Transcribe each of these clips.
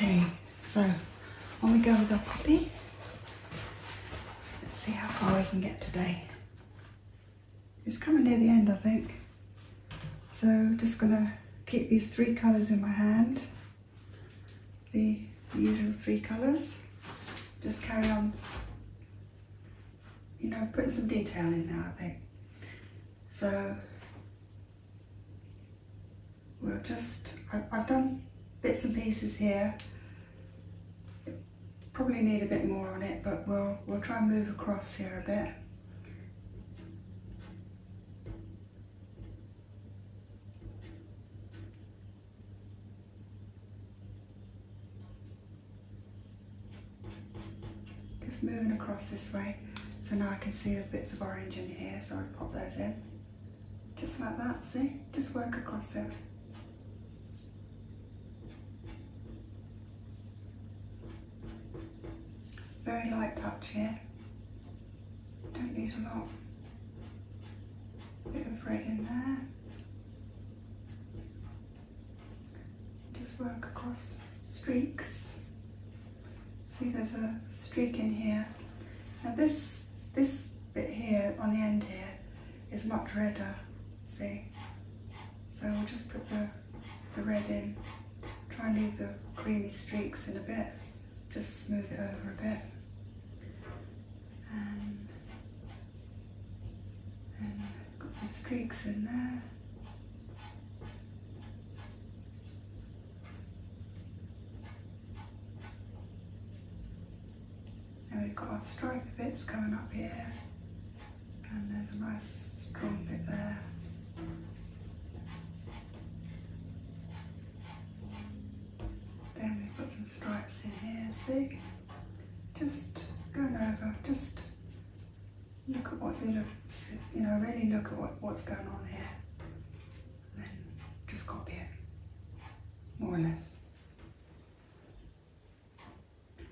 Okay, so on we go with our puppy. Let's see how far we can get today. It's coming near the end, I think. So just gonna keep these three colors in my hand the usual three colours. Just carry on, you know, putting some detail in now, I think. So, we'll just, I've done bits and pieces here. Probably need a bit more on it, but we'll, we'll try and move across here a bit. Just moving across this way. So now I can see there's bits of orange in here, so I pop those in. Just like that, see? Just work across it. Very light touch here. Don't need a lot of bit of red in there. Just work across streaks. See there's a streak in here. Now this, this bit here on the end here is much redder, see? So we'll just put the, the red in, try and leave the creamy streaks in a bit just smooth it over a bit. And got some streaks in there. And we've got our stripy bits coming up here and there's a nice strong bit there. Then we've got some stripes in here, see? Just going over, just look at what bit of, you know, really look at what, what's going on here. And then just copy it, more or less.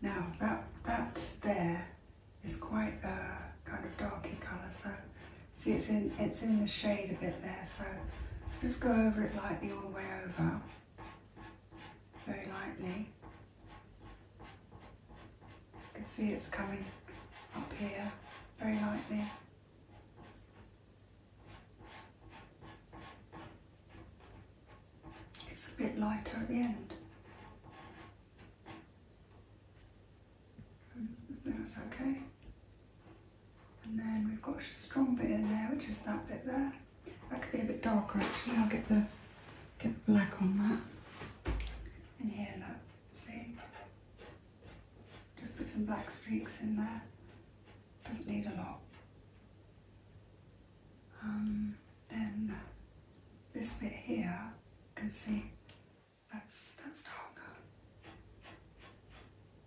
Now that, that there is quite a uh, kind of dark in colour, so See, it's in, it's in the shade a bit there, so just go over it lightly all the way over, very lightly. You can see it's coming up here, very lightly. It's a bit lighter at the end. That's okay. And then we've got a strong bit in there, which is that bit there. That could be a bit darker actually. I'll get the get the black on that. And here, look, see? Just put some black streaks in there. Doesn't need a lot. Um, then this bit here, you can see that's that's dark.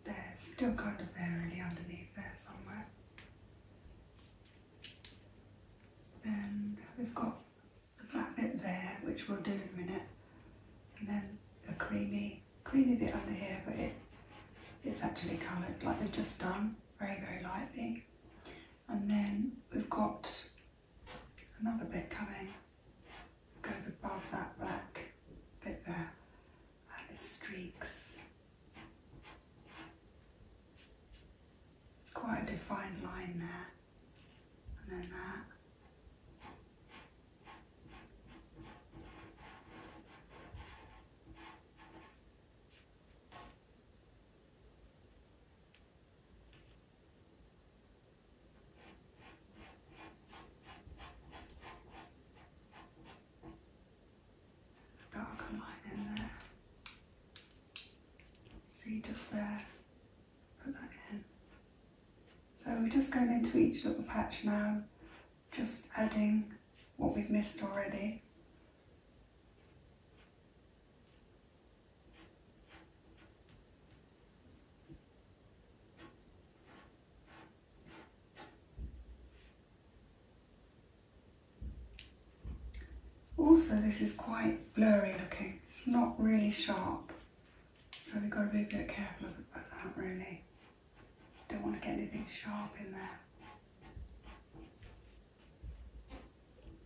They're still kind of there, really, underneath there somewhere. Then we've got the black bit there, which we'll do in a minute, and then a creamy, creamy bit under here, but it it's actually coloured like we have just done, very very lightly. And then we've got another bit coming goes above that black bit there and it streaks. It's quite a defined line there and then that. Darker line in there. See just there, put that in. So we're just going into each little patch now, just adding what we've missed already. Also, this is quite blurry looking. It's not really sharp. So we've got to be a bit careful about that really. Don't want to get anything sharp in there.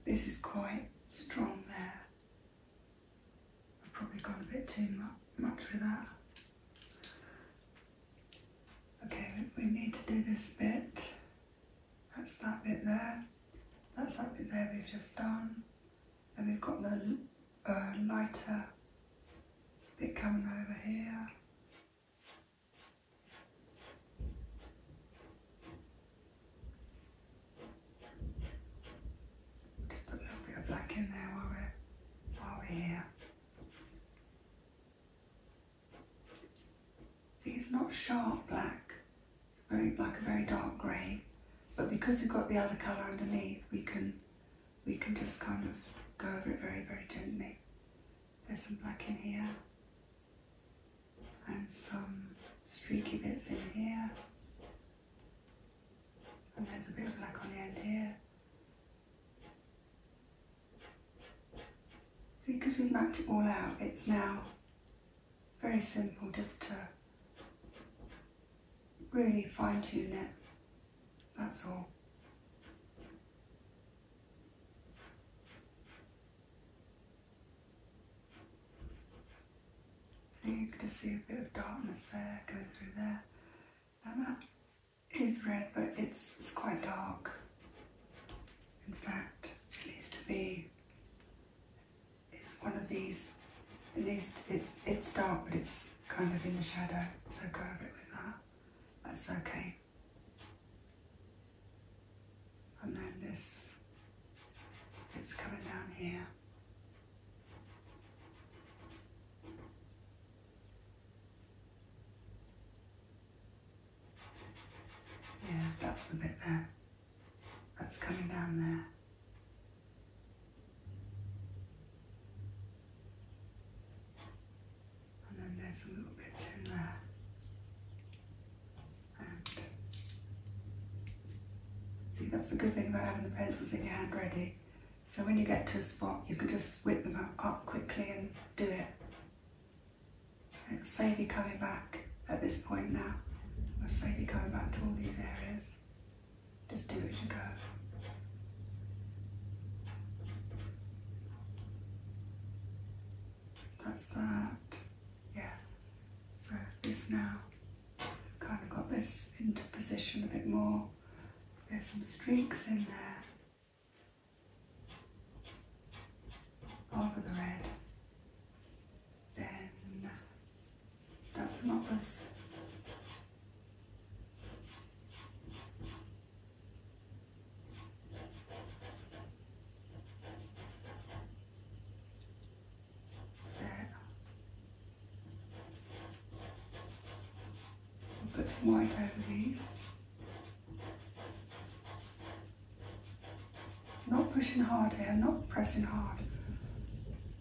This is quite strong there. I've probably gone a bit too much with that. Okay, we need to do this bit. That's that bit there. That's that bit there we've just done. And we've got the uh, lighter bit coming over here. Just put a little bit of black in there while we're, while we're here. See, it's not sharp black, very black, a very dark grey, but because we've got the other colour underneath, we can, we can just kind of go over it very, very gently. There's some black in here, and some streaky bits in here, and there's a bit of black on the end here. See, because we've mapped it all out, it's now very simple just to really fine tune it. That's all. you can just see a bit of darkness there going through there. And that is red, but it's, it's quite dark. In fact, it needs to be, it's one of these, at least it's, it's dark, but it's kind of in the shadow, so go over it with that. That's okay. And then this, it's coming down here. Yeah, that's the bit there. That's coming down there. And then there's a little bit in there. And see, that's the good thing about having the pencils in your hand ready. So when you get to a spot, you can just whip them up quickly and do it. And save you coming back at this point now. it save you coming back to all these areas. Just do it as you go. That's that. Yeah. So this now, kind of got this into position a bit more. There's some streaks in there over the red. Then that's not opus. Set put some white over these. not pushing hard here, not pressing hard.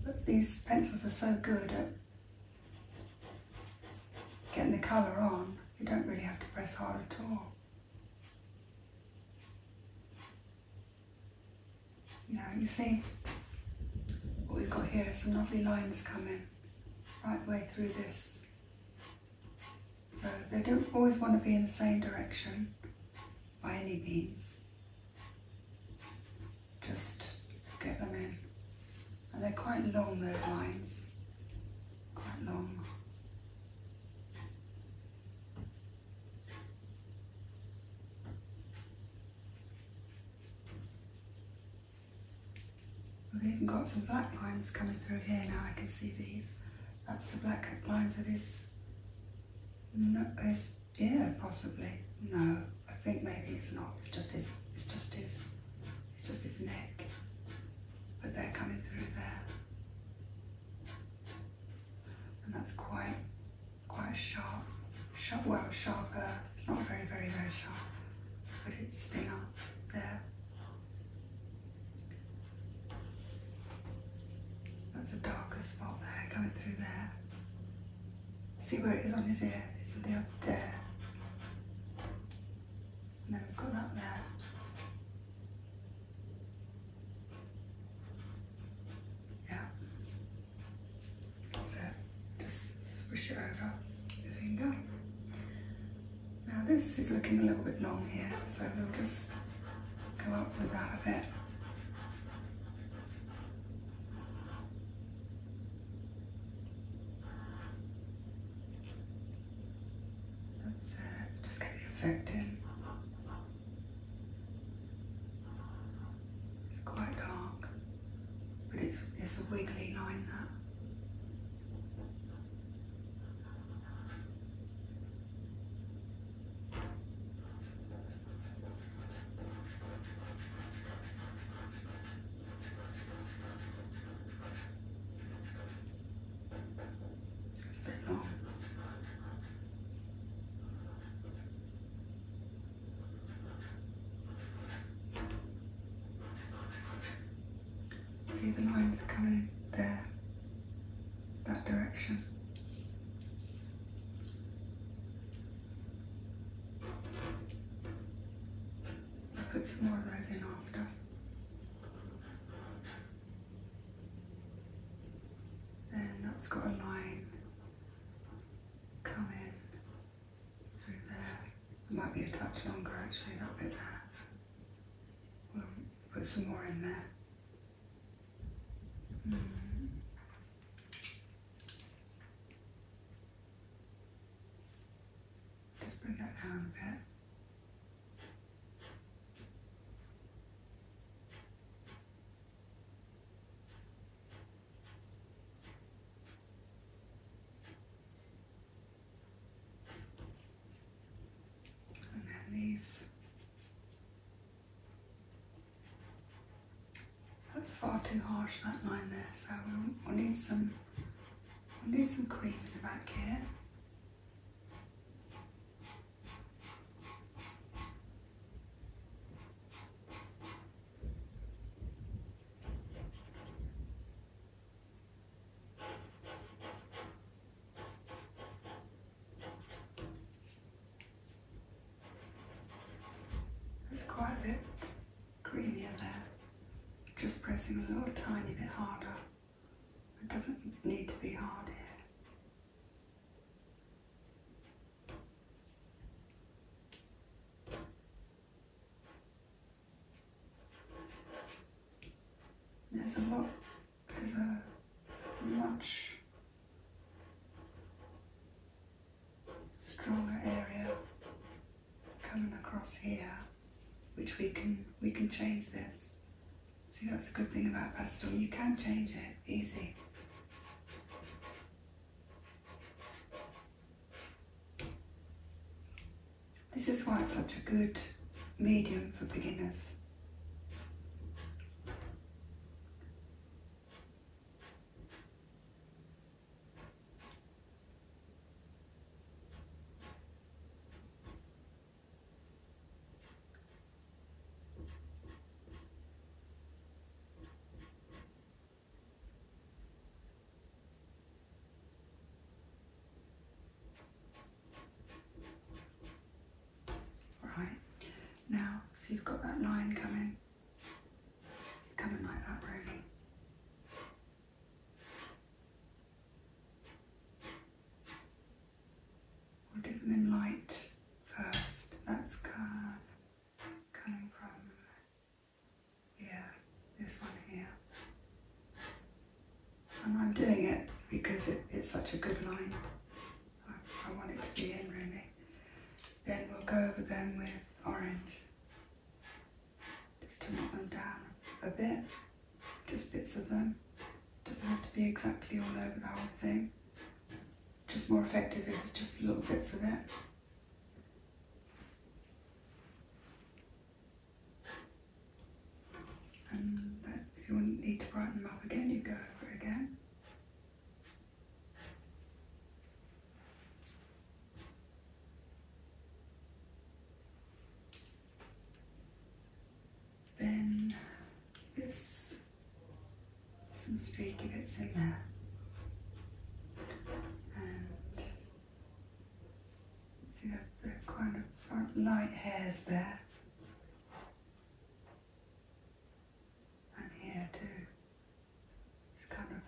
But these pencils are so good at getting the colour on, you don't really have to press hard at all. You you see, what we've got here is some lovely lines coming right way through this. So they don't always want to be in the same direction by any means. Just get them in. And they're quite long, those lines. Quite long. We've even got some black lines coming through here now, I can see these. That's the black lines of his, his ear, possibly. No, I think maybe it's not. It's just his, it's just his, it's just his neck. But they're coming through there. And that's quite, quite sharp sharp, well, sharper. It's not very, very, very sharp, but it's still up there. That's a darker spot there, going through there. See where it is on his ear? It's the up there. And we've got that there. Yeah. So just swish it over your finger. Now this is looking a little bit long here, so we'll just go up with that a bit. just get the effect in. It's quite dark, but it's, it's a wiggly line that. It's a long. See the lines coming there, that direction. I'll put some more of those in after. Then that's got a line coming. in might be a touch longer actually, that bit there. We'll put some more in there. Hmm. Just bring that down a bit. And then these. That's far too harsh that line there, so we need some we'll need some cream in the back here. It's quite a bit creamier there. Just pressing a little tiny bit harder. It doesn't need to be hard here. There's a lot, there's a much stronger area coming across here, which we can we can change this. See, that's a good thing about pastel. You can change it easy. This is why it's such a good medium for beginners. Right, now, so you've got that line coming. It's coming like that, really. We'll do them in light first. That's coming from yeah, this one here. And I'm doing it because it's such a good line. I, want it to be in really. Then we'll go over them with orange. Just to knock them down a bit. Just bits of them. Doesn't have to be exactly all over the whole thing. Just more effective if it's just little bits of it. And if you need to brighten them up again, you go over again. Then there's some streaky bits in there. And See that kind of front light hairs there? And here too. It's kind of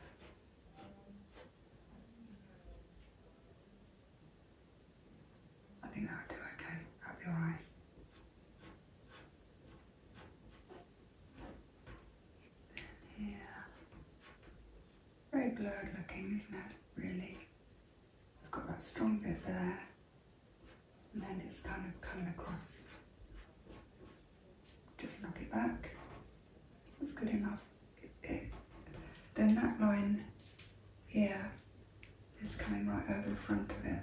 I think that'll do okay. That'll be alright. And Very blurred looking, isn't it? Really. we have got that strong bit there. And then it's kind of coming across. Just knock it back. That's good enough. then that line here is coming right over the front of it.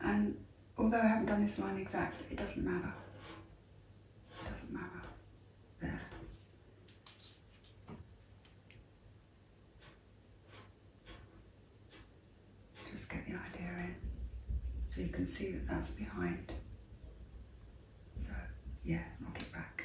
And although I haven't done this line exactly, it doesn't matter. Doesn't matter. There. Just get the idea in. So you can see that that's behind. So, yeah, knock it back.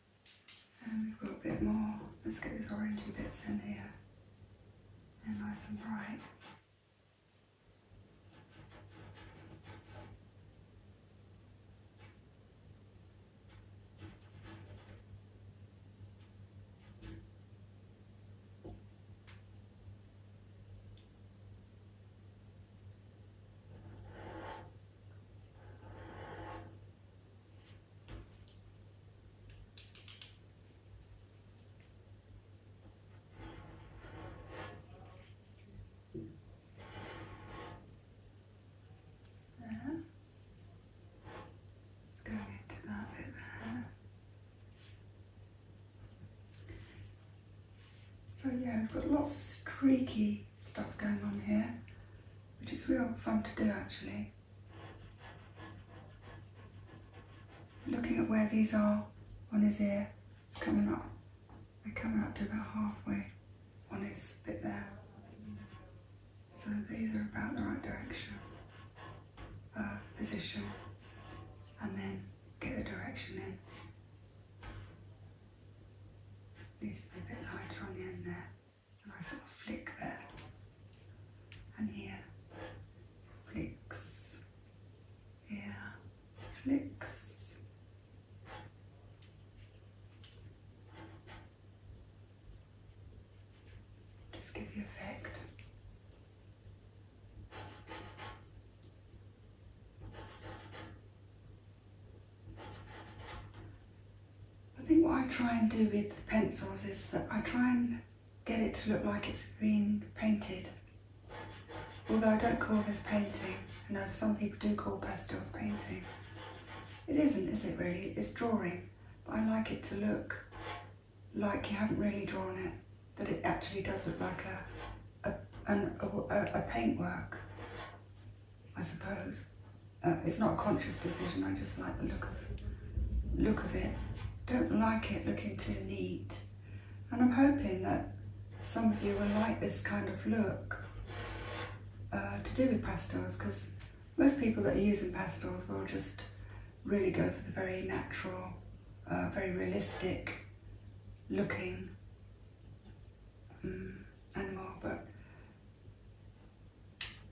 And um, we've got a bit more. Let's get these orangey bits in here. And nice and bright. It's going into that bit there. So yeah, we've got lots of streaky stuff going on here, which is real fun to do actually. Looking at where these are on his ear, it's coming up. They're coming up to about halfway on his bit there. So these are about the right direction, uh, position, and then get the direction in. Needs to be a bit lighter on the end there nice little flick there and here flicks here flicks just give the effect I think what I try and do with the pencils is that I try and get it to look like it's been painted. Although I don't call this painting, I know some people do call pastels painting. It isn't, is it really? It's drawing, but I like it to look like you haven't really drawn it, that it actually does look like a, a, an, a, a paintwork, I suppose. Uh, it's not a conscious decision. I just like the look of look of it. Don't like it looking too neat. And I'm hoping that some of you will like this kind of look uh, to do with pastels because most people that are using pastels will just really go for the very natural, uh, very realistic looking mm, animal. But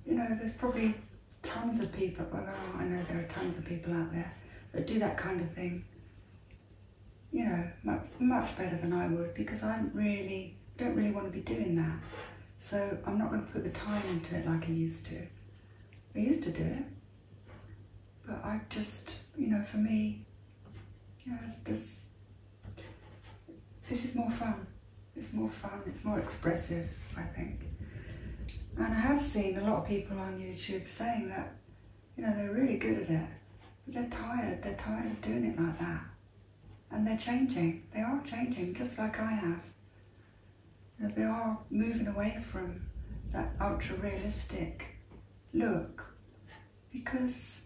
you know, there's probably tons of people, I know there are tons of people out there that do that kind of thing, you know, much, better than I would because I really, don't really want to be doing that. So I'm not going to put the time into it like I used to. I used to do it, but I just, you know, for me, you this, this is more fun. It's more fun, it's more expressive, I think. And I have seen a lot of people on YouTube saying that, you know, they're really good at it, but they're tired, they're tired of doing it like that. And they're changing, they are changing, just like I have. You they are moving away from that ultra realistic look because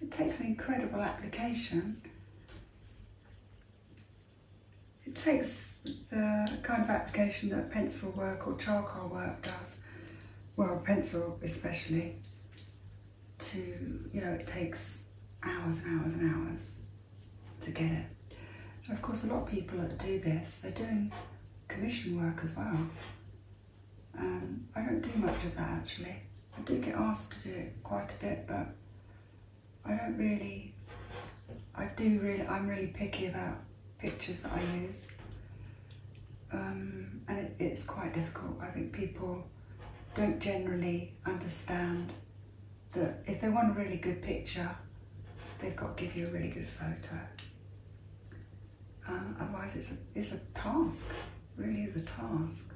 it takes an incredible application it takes the kind of application that pencil work or charcoal work does, well, pencil especially, to, you know, it takes hours and hours and hours to get it. of course, a lot of people that do this, they're doing commission work as well. And um, I don't do much of that actually. I do get asked to do it quite a bit, but I don't really, I do really, I'm really picky about pictures that I use. Um, and it's quite difficult. I think people don't generally understand that if they want a really good picture, they've got to give you a really good photo. Um, otherwise, it's a, it's a task, really is a task.